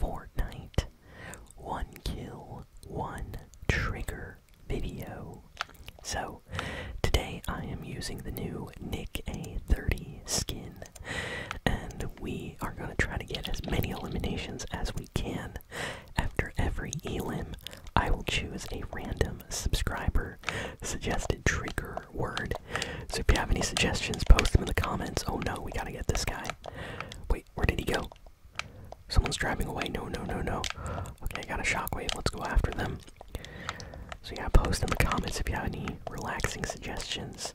Fortnite. One kill, one trigger video. So, today I am using the new Nick A30 skin, and we are going to try to get as many eliminations as we can. After every elim, I will choose a random subscriber suggested trigger word. So if you have any suggestions, post them in the comments. Oh no, we gotta get this guy. Wait, where did he go? Someone's driving away. No, no, no, no. Okay, I got a shockwave. Let's go after them. So yeah, post in the comments if you have any relaxing suggestions.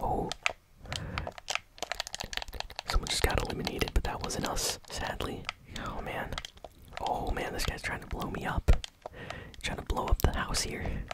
Oh. Someone just got eliminated, but that wasn't us, sadly. Oh man. Oh man, this guy's trying to blow me up. Trying to blow up the house here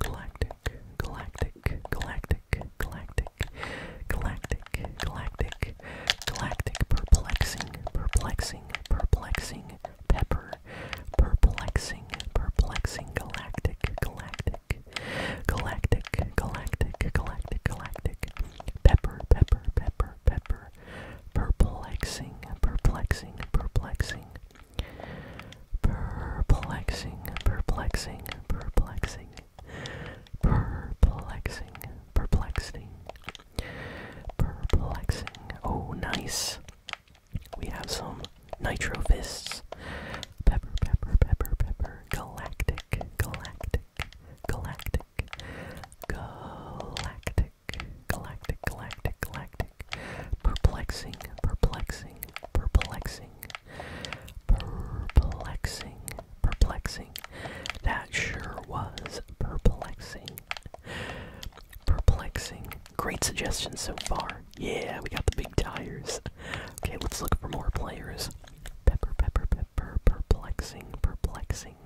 galactic, galactic, galactic, galactic, galactic, galactic, galactic, perplexing, perplexing, perplexing, pepper, perplexing, perplexing, galactic, galactic, galactic, galactic, galactic, galactic, pepper, pepper, pepper, pepper, perplexing, perplexing, perplexing. Perplexing, perplexing, perplexing, perplexing, perplexing, perplexing. Oh, nice. We have some nitro fists. Pepper, pepper, pepper, pepper. Galactic, galactic, galactic, galactic, galactic, galactic, galactic perplexing, perplexing, perplexing, perplexing, perplexing. That sure was perplexing. Perplexing. Great suggestions so far. Yeah, we got the big tires. Okay, let's look for more players. Pepper, pepper, pepper, perplexing, perplexing,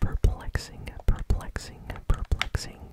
perplexing, perplexing, perplexing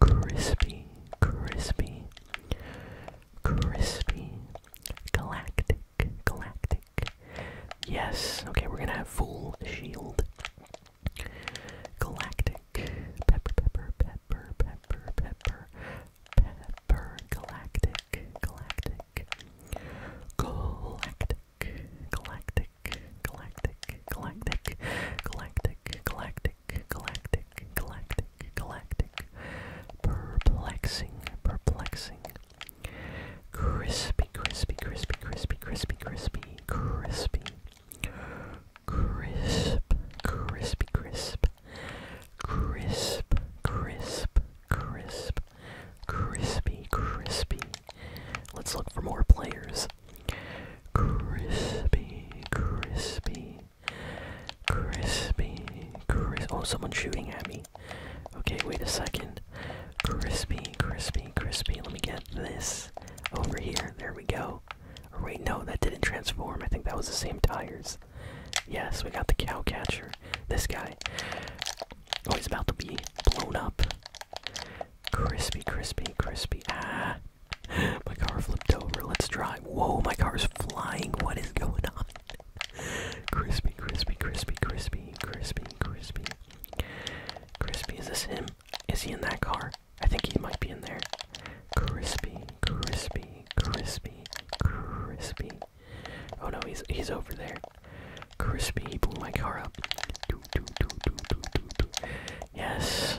crispy, crispy, crispy, galactic, galactic. Yes, okay, we're gonna have full shield. Galactic, pepper, pepper, pepper, pepper, pepper, pepper, galactic, galactic, galactic, galactic, galactic, galactic, galactic, galactic galactic, galactic, galactic, galactic, perplexing, perplexing, crispy, crispy, crispy, crispy, crispy, crispy, crispy, crisp, crispy, crisp, crisp, crisp, crisp, crispy, crispy. Let's look for more players crispy, crispy, crispy, crispy. Oh, someone's shooting at me. Okay, wait a second. Crispy, crispy, crispy. Let me get this over here. There we go. Or wait, no, that didn't transform. I think that was the same tires. Yes, we got the cow catcher. This guy. Oh, he's about to be blown up. Crispy, crispy, crispy. Ah, my car flipped over. Let's drive. Whoa, my car's flying. What is going on? Crispy, crispy, crispy, crispy, crispy, crispy. Crispy, is this him? Is he in that car? I think he might be in there. Crispy, crispy, crispy, crispy. Oh no, he's he's over there. Crispy, he blew my car up. Do, do, do, do, do, do, do. Yes.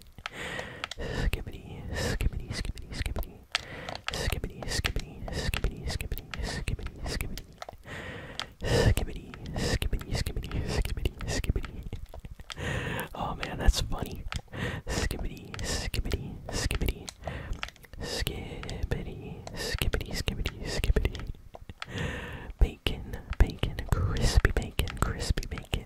skibbity, skibbity, skibbity, skibbity, skibbity, skibbity, skibbity, skibbity, skibbity, skibbity, skibbity, skibbity, skibbity, skibbity, skibbity, skibbity. Oh man, that's funny. Skibbity, skibbity, skibbity, skibbity, skibbity, skibbity, skibbity. Bacon, bacon, crispy bacon, crispy bacon.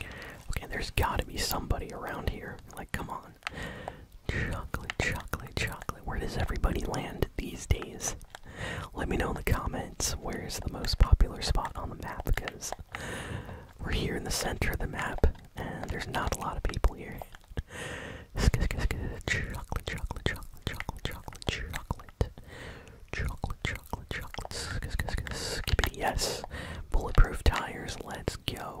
Okay, there's gotta be somebody around here. Like, come on. Chocolate, chocolate, chocolate. Where does everybody land these days? Let me know in the comments where is the most popular spot on the map because we're here in the center of the map and there's not a lot of people here. Chocolate, chocolate, chocolate, chocolate, chocolate, chocolate. Chocolate, chocolate, chocolate. yes. Bulletproof tires, let's go.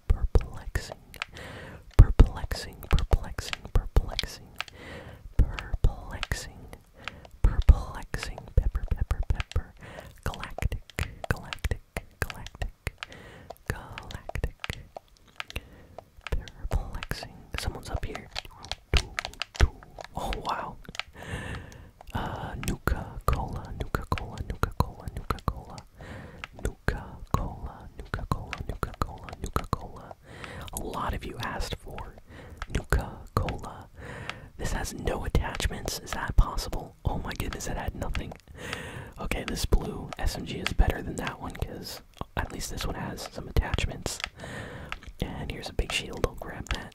perplexing, perplexing, perplexing, perplexing, perplexing, perplexing, pepper, pepper, pepper, galactic, galactic, galactic, galactic, perplexing. Someone's up here. Oh wow uh, Nuka Cola, Nuka Cola, Nuka Cola, Nuka Cola, Nuka Cola, Nuka Cola, Nuka Cola, Nuka Cola. A lot of you asked for Nuka Cola. This has no attachments. Is that possible? Oh my goodness, it had nothing. Okay, this blue SMG is better than that one because at least this one has some attachments. And here's a big shield. I'll grab that.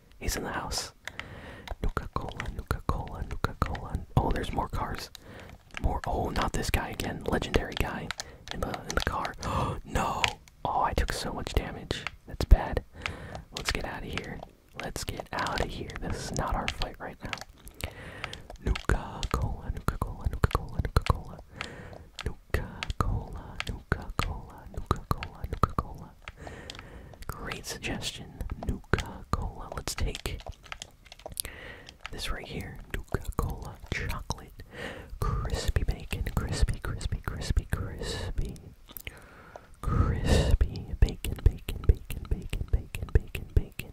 He's in the house. Nuka Cola, Nuka Cola, Nuka Cola. Oh, there's more cars. More. Oh, not this guy again. Legendary guy in the in the car. Oh no. Oh, I took so much damage. That's bad. Let's get out of here. Let's get out of here. This is not our fight right now. Nuka Cola, Nuka Cola, Nuka Cola, Nuka Cola. Nuka Nuka-Cola, Nuka-Cola, Nuka-Cola, Nuka-Cola. Great suggestion, Nuka-Cola. Let's take this right here, Nuka-Cola chocolate, crispy bacon, crispy, crispy, crispy, crispy, crispy bacon, bacon, bacon, bacon, bacon, bacon, bacon.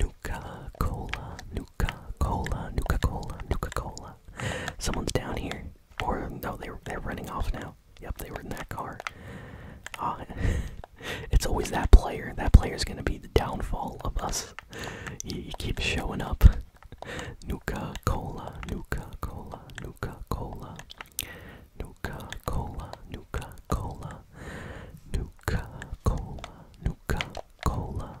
Nuka-Cola, Nuka-Cola, Nuka-Cola, Nuka-Cola. Someone's down here. Or no, they they're running off now. Yep, they were in that car. Uh, it's always that player. That player is gonna be the downfall of us. He, he keeps showing up. Nuka Cola, Nuka Cola, Nuka Cola, Nuka Cola, Nuka Cola, Nuka Cola, Nuka Cola,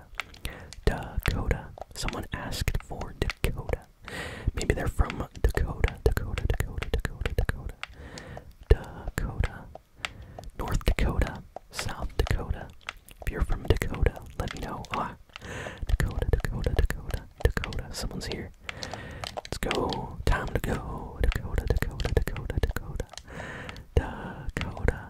Dakota. Dakota. Someone asked for Dakota. Maybe they're from Dakota. Dakota, Dakota, Dakota, Dakota. Dakota. North Dakota. South Dakota. If you're from Dakota, let me know. Ah, Dakota, Dakota, Dakota, Dakota. Someone's here. Let's go. Time to go. Dakota, Dakota, Dakota, Dakota. Dakota.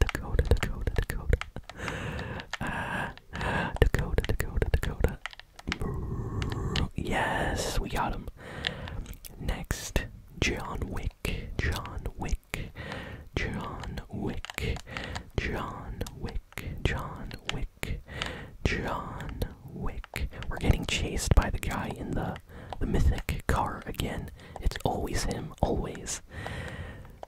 Dakota, Dakota, Dakota. Uh, Dakota, Dakota, Dakota. Yes, we got him. Next, John Wick. John Wick. John Wick. John Wick. John Wick. John Wick. We're getting chased by the guy in the the mythic car again. It's always him, always.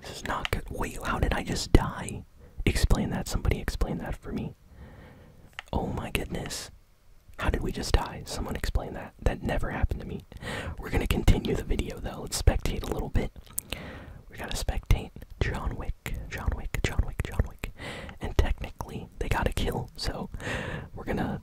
This is not good. Wait, how did I just die? Explain that. Somebody explain that for me. Oh my goodness. How did we just die? Someone explain that. That never happened to me. We're gonna continue the video though. Let's spectate a little bit. We're gonna spectate John Wick, John Wick, John Wick, John Wick. And technically, they got to kill, so we're gonna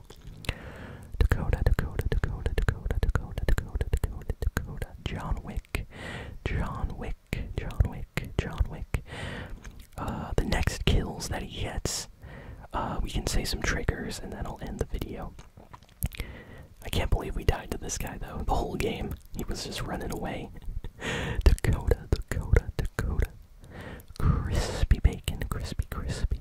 Dakota, Dakota, Dakota, Dakota, Dakota, Dakota, Dakota, Dakota, John Wick, John Wick, John Wick, John Wick. Uh, the next kills that he gets, uh, we can say some triggers, and that'll end the video. I can't believe we died to this guy though. The whole game, he was just running away. Dakota, Dakota, Dakota. Crispy bacon, crispy, crispy.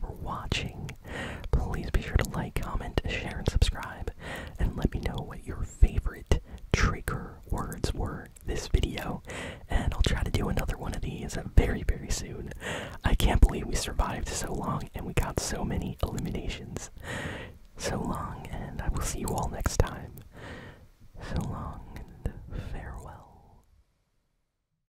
for watching. Please be sure to like, comment, share, and subscribe. And let me know what your favorite trigger words were this video. And I'll try to do another one of these very, very soon. I can't believe we survived so long and we got so many eliminations. So long, and I will see you all next time. So long, and farewell.